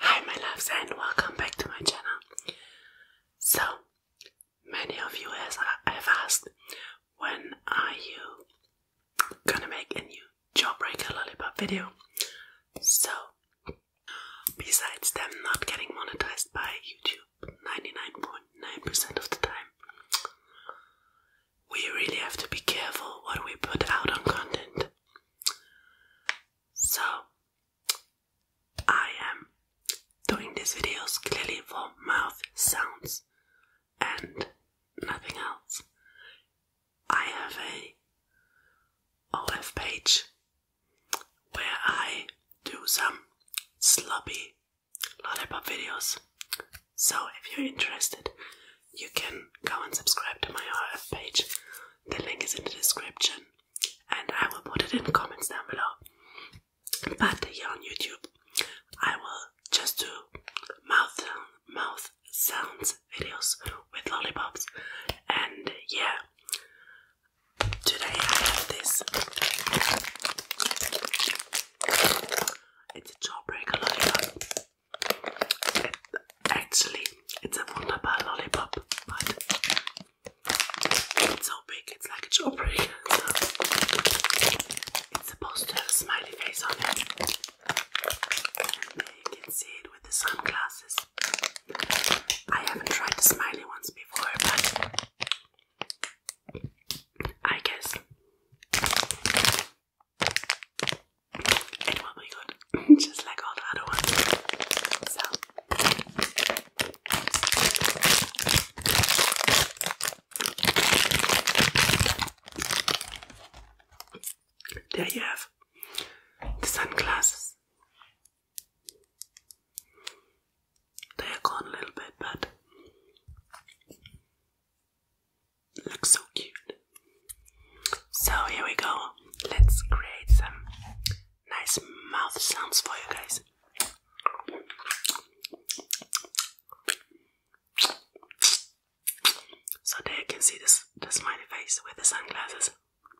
Hi, my loves, and welcome back to my channel. So, many of you uh, have asked when are you gonna make a new jawbreaker lollipop video. So, Besides them not getting monetized by YouTube 99.9% of the time, we really have to be careful what we put out on content. So, I am doing these videos clearly for mouth sounds and nothing else. I have a OF page where I do some sloppy lollipop videos. So if you're interested, you can go and subscribe to my RF page. The link is in the description and I will put it in the comments down below. But here on YouTube, I will just do mouth mouth sounds videos with lollipops. And yeah, today I have this. It's a jawbreaker lollipop. It, actually, it's a Wunderbar lollipop, but it's so big, it's like a jawbreaker. So it's supposed to have a smiley face on it. you can see it with the sunglasses. I haven't tried the smiley ones before, but I guess it will be good, just like all the other ones. So. There you have the sunglasses. They're gone a little bit, but looks so cute. So here we go. Let's create some nice mouth sounds for you guys. So there you can see this the smiley face with the sunglasses.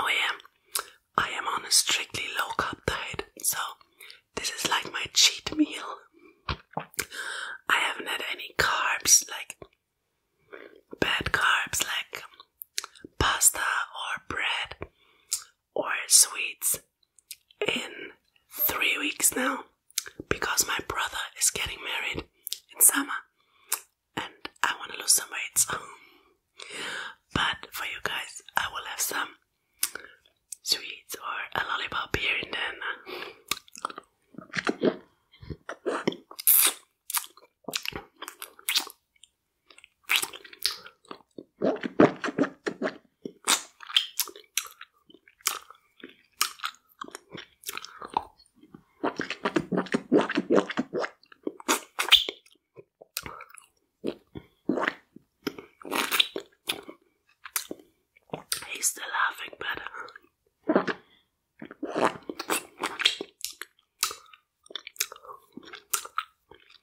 Oh yeah, I am on a strictly low carb diet, so this is like my cheat meal. I haven't had any carbs, like bad carbs, like pasta or bread or sweets in three weeks now because my brother is getting married in summer and I want to lose some weight. But for you guys, I will have some sweets or a lollipop here and then. He's still laughing, but. Uh,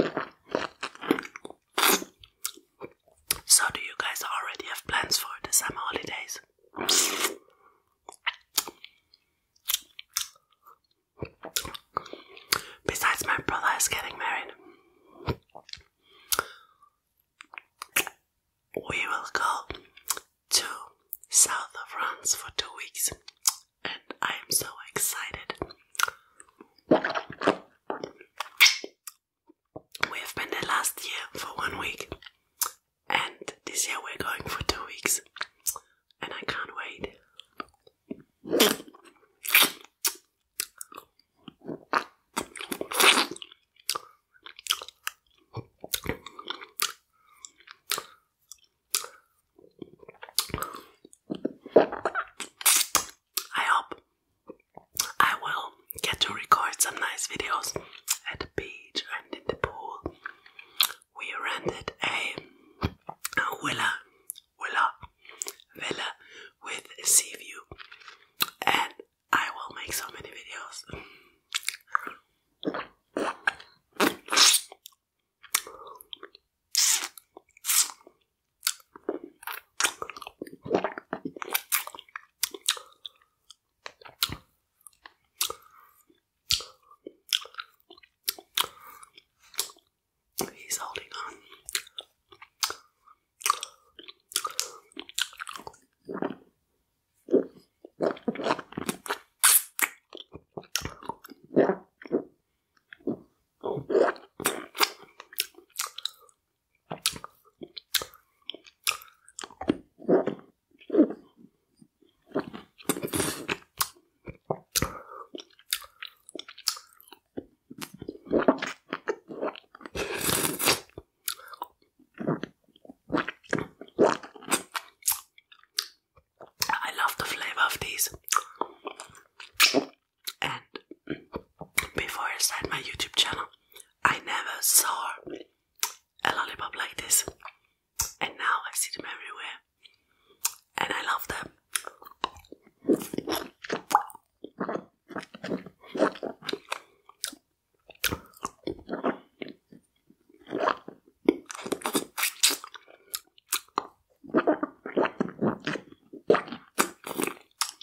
So, do you guys already have plans for the summer holidays? Besides, my brother is getting married. We will go to south of France for two weeks, and I am so excited. We've been there last year for one week, and this year we're going for two weeks, and I can't wait. I hope I will get to record some nice videos at the beach and in the pool. We rented a villa, villa, villa with a sea view, and I will make so many videos. He's holding on. I love the flavor of these. And before I started my YouTube channel, I never saw a lollipop like this. And now I see them everywhere. And I love them.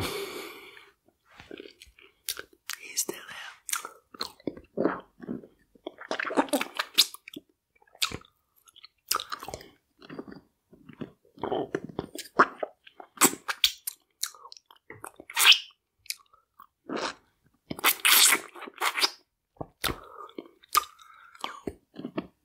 He's still there.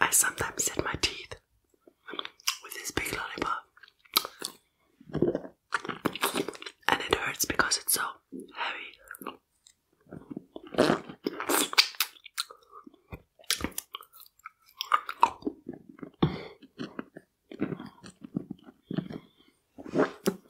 I sometimes set my teeth with this big lollipop, and it hurts because it's so heavy.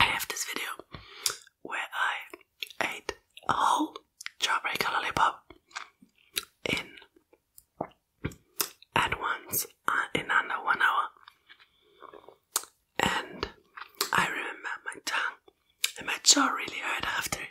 I have this video where I ate a whole Jawbreaker lollipop in at once uh, in under one hour, and I remember my tongue and my jaw really hurt after it.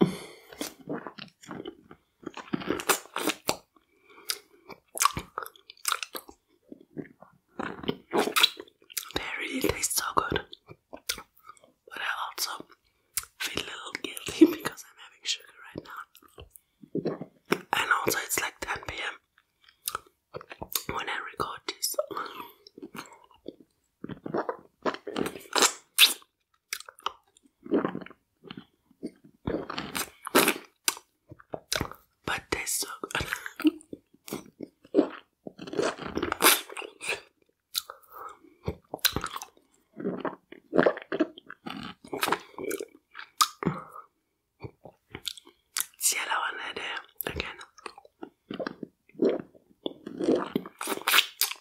They really taste so good, but I also feel a little guilty because I'm having sugar right now, and also it's like 10 p.m. when I record this. But they so good. See one there again.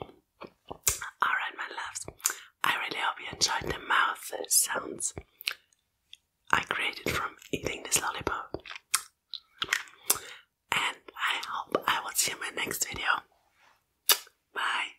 Alright, my loves, I really hope you enjoyed the mouth sounds I created from eating this lollipop. And I hope I will see you in my next video. Bye.